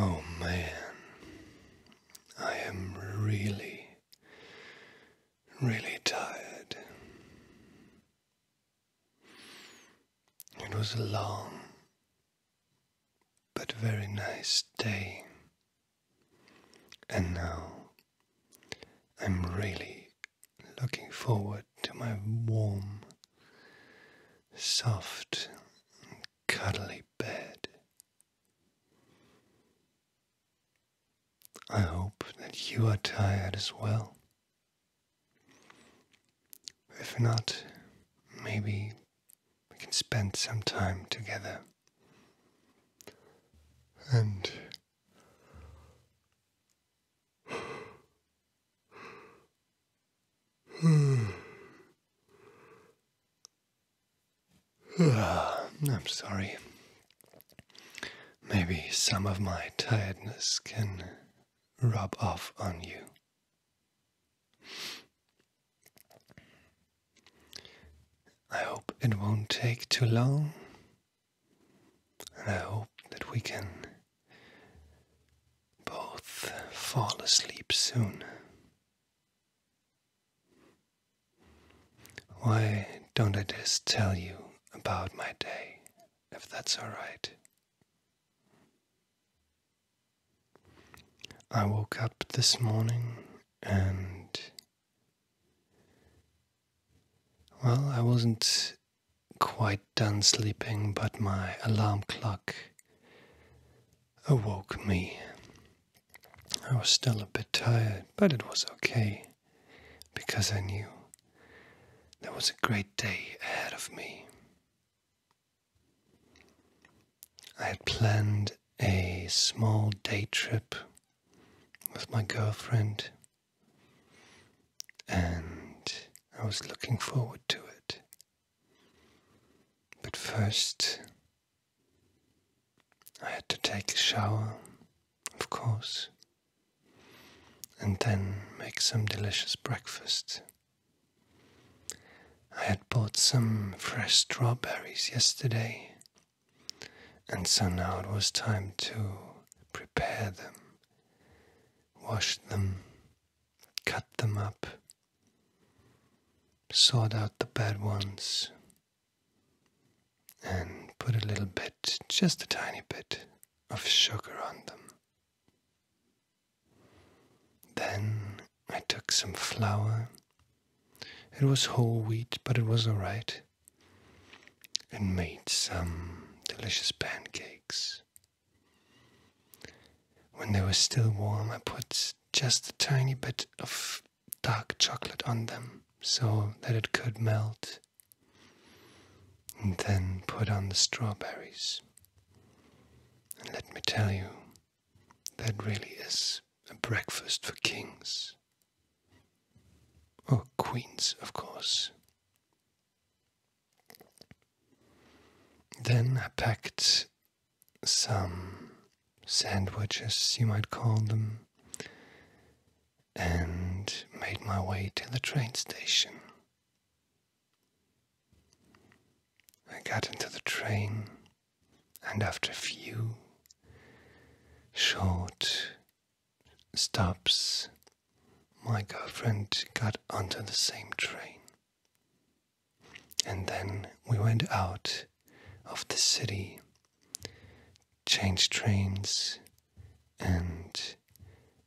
oh man, I am really really tired. It was a long but very nice day, and now I'm really looking forward to my warm, soft, cuddly bed. I hope that you are tired as well. If not, maybe we can spend some time together. And I'm sorry. Maybe some of my tiredness can rub off on you. I hope it won't take too long, and I hope that we can both fall asleep soon. Why don't I just tell you about my day, if that's alright? I woke up this morning and. Well, I wasn't quite done sleeping, but my alarm clock awoke me. I was still a bit tired, but it was okay because I knew there was a great day ahead of me. I had planned a small day trip with my girlfriend, and I was looking forward to it. But first, I had to take a shower, of course, and then make some delicious breakfast. I had bought some fresh strawberries yesterday, and so now it was time to prepare them, wash them, cut them up, sort out the bad ones, and put a little bit, just a tiny bit, of sugar on them. Then I took some flour. It was whole wheat, but it was alright. And made some delicious pancakes. When they were still warm, I put just a tiny bit of dark chocolate on them so that it could melt. And then put on the strawberries. And let me tell you, that really is a breakfast for kings. Or queens, of course. Then I packed some sandwiches, you might call them, and made my way to the train station. I got into the train, and after a few short stops, my girlfriend got onto the same train. And then we went out of the city changed trains, and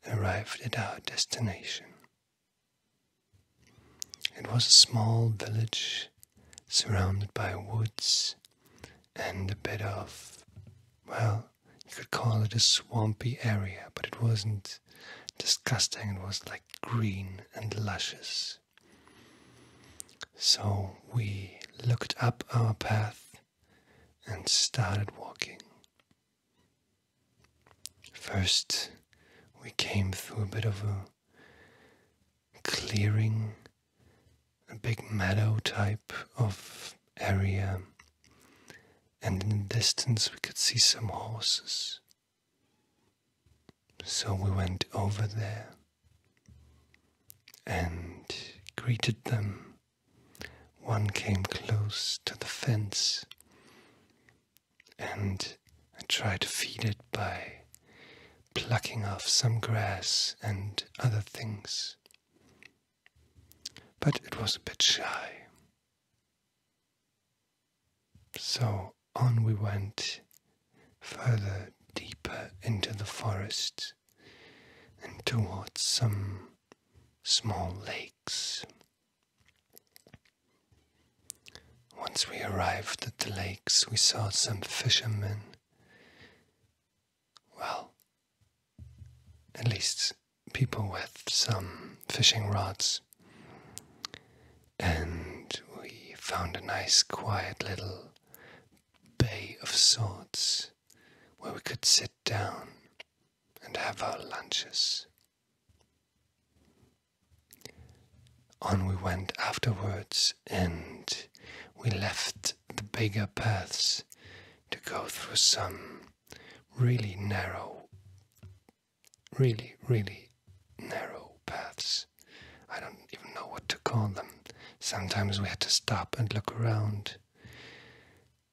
arrived at our destination. It was a small village surrounded by woods and a bit of, well, you could call it a swampy area, but it wasn't disgusting, it was like green and luscious. So we looked up our path and started walking. First, we came through a bit of a clearing, a big meadow type of area, and in the distance we could see some horses. So we went over there and greeted them one came close to the fence, and I tried to feed it by plucking off some grass and other things. But it was a bit shy. So on we went, further deeper into the forest and towards some small lakes. Once we arrived at the lakes, we saw some fishermen. Well, at least people with some fishing rods. And we found a nice, quiet little bay of sorts where we could sit down and have our lunches. On we went afterwards, and we left the bigger paths to go through some really narrow, really, really narrow paths. I don't even know what to call them. Sometimes we had to stop and look around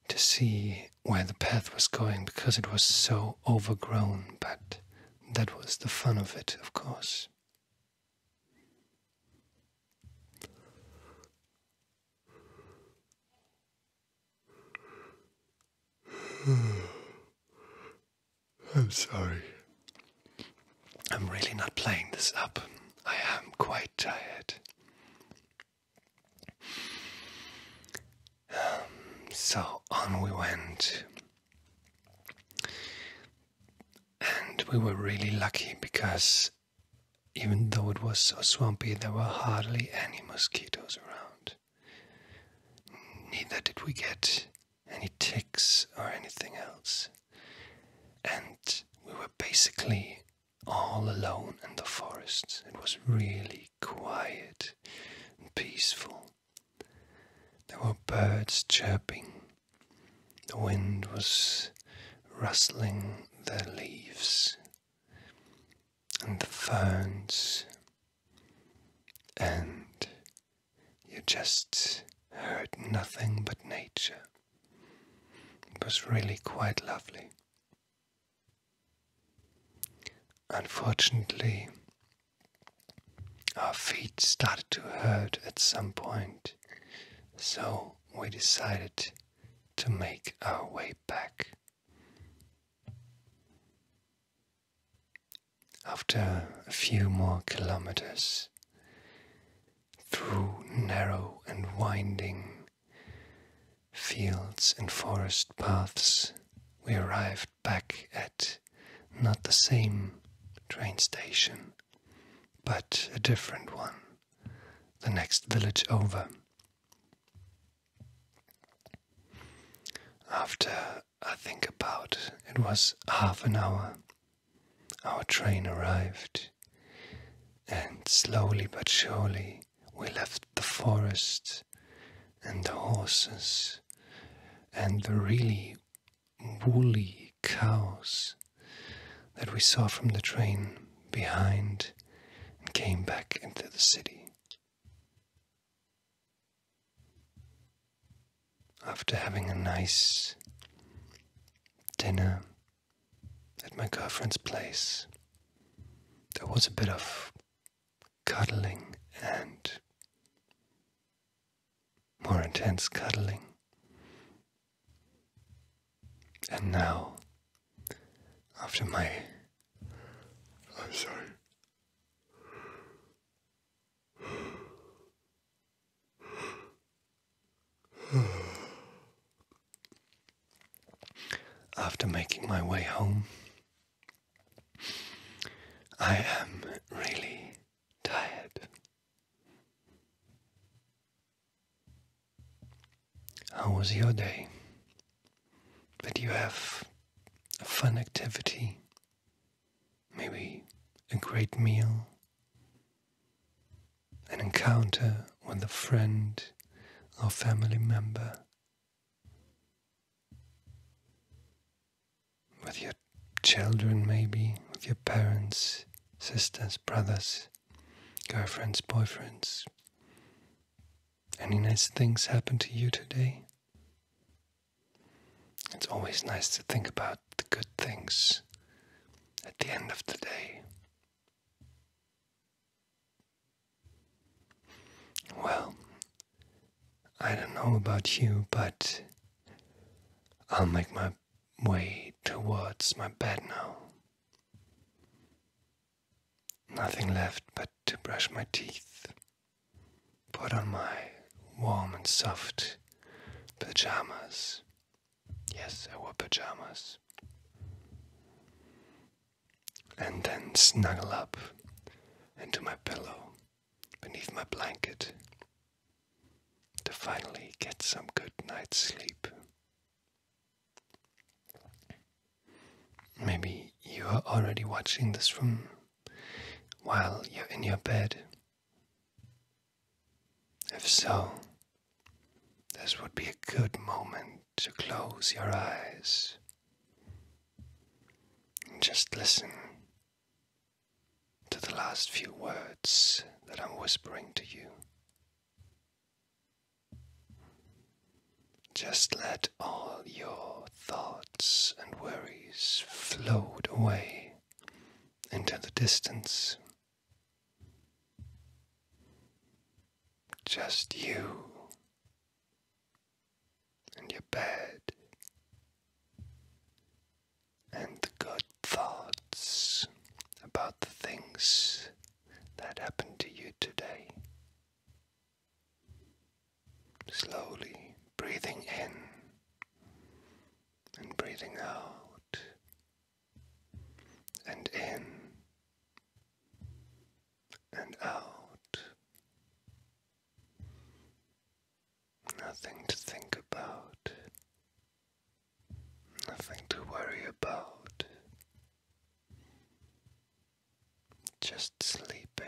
to see where the path was going because it was so overgrown, but that was the fun of it, of course. I'm sorry. I'm really not playing this up. I am quite tired. So on we went. And we were really lucky because even though it was so swampy, there were hardly any mosquitoes around. Neither did we get any ticks or anything else. And we were basically all alone in the forest. It was really quiet and peaceful. There were birds chirping. The wind was rustling the leaves and the ferns, and you just heard nothing but nature. It was really quite lovely. Unfortunately, our feet started to hurt at some point, so we decided to make our way back. After a few more kilometers, through narrow and winding fields and forest paths, we arrived back at not the same train station, but a different one, the next village over. After, I think, about it was half an hour, our train arrived and slowly but surely we left the forest and the horses and the really woolly cows that we saw from the train behind and came back into the city. After having a nice dinner at my girlfriend's place, there was a bit of cuddling and more intense cuddling. And now, after my. I'm sorry. After making my way home, I am really tired. How was your day? Did you have a fun activity? Maybe a great meal? an encounter with a friend or family member, with your children, maybe, with your parents, sisters, brothers, girlfriends, boyfriends. Any nice things happen to you today? It's always nice to think about the good things at the end of the day. Well, I don't know about you, but I'll make my way towards my bed now. Nothing left but to brush my teeth, put on my warm and soft pajamas. Yes, I wear pajamas and then snuggle up into my pillow beneath my blanket to finally get some good night's sleep. Maybe you are already watching this room while you're in your bed. If so, this would be a good moment to close your eyes and just listen to the last few words that I'm whispering to you. Just let all your thoughts and worries float away into the distance. Just you and your bed and the good thoughts about the things that happened to you today. Slowly breathing in and breathing out and in and out. Nothing to think about, nothing to worry about, just sleeping.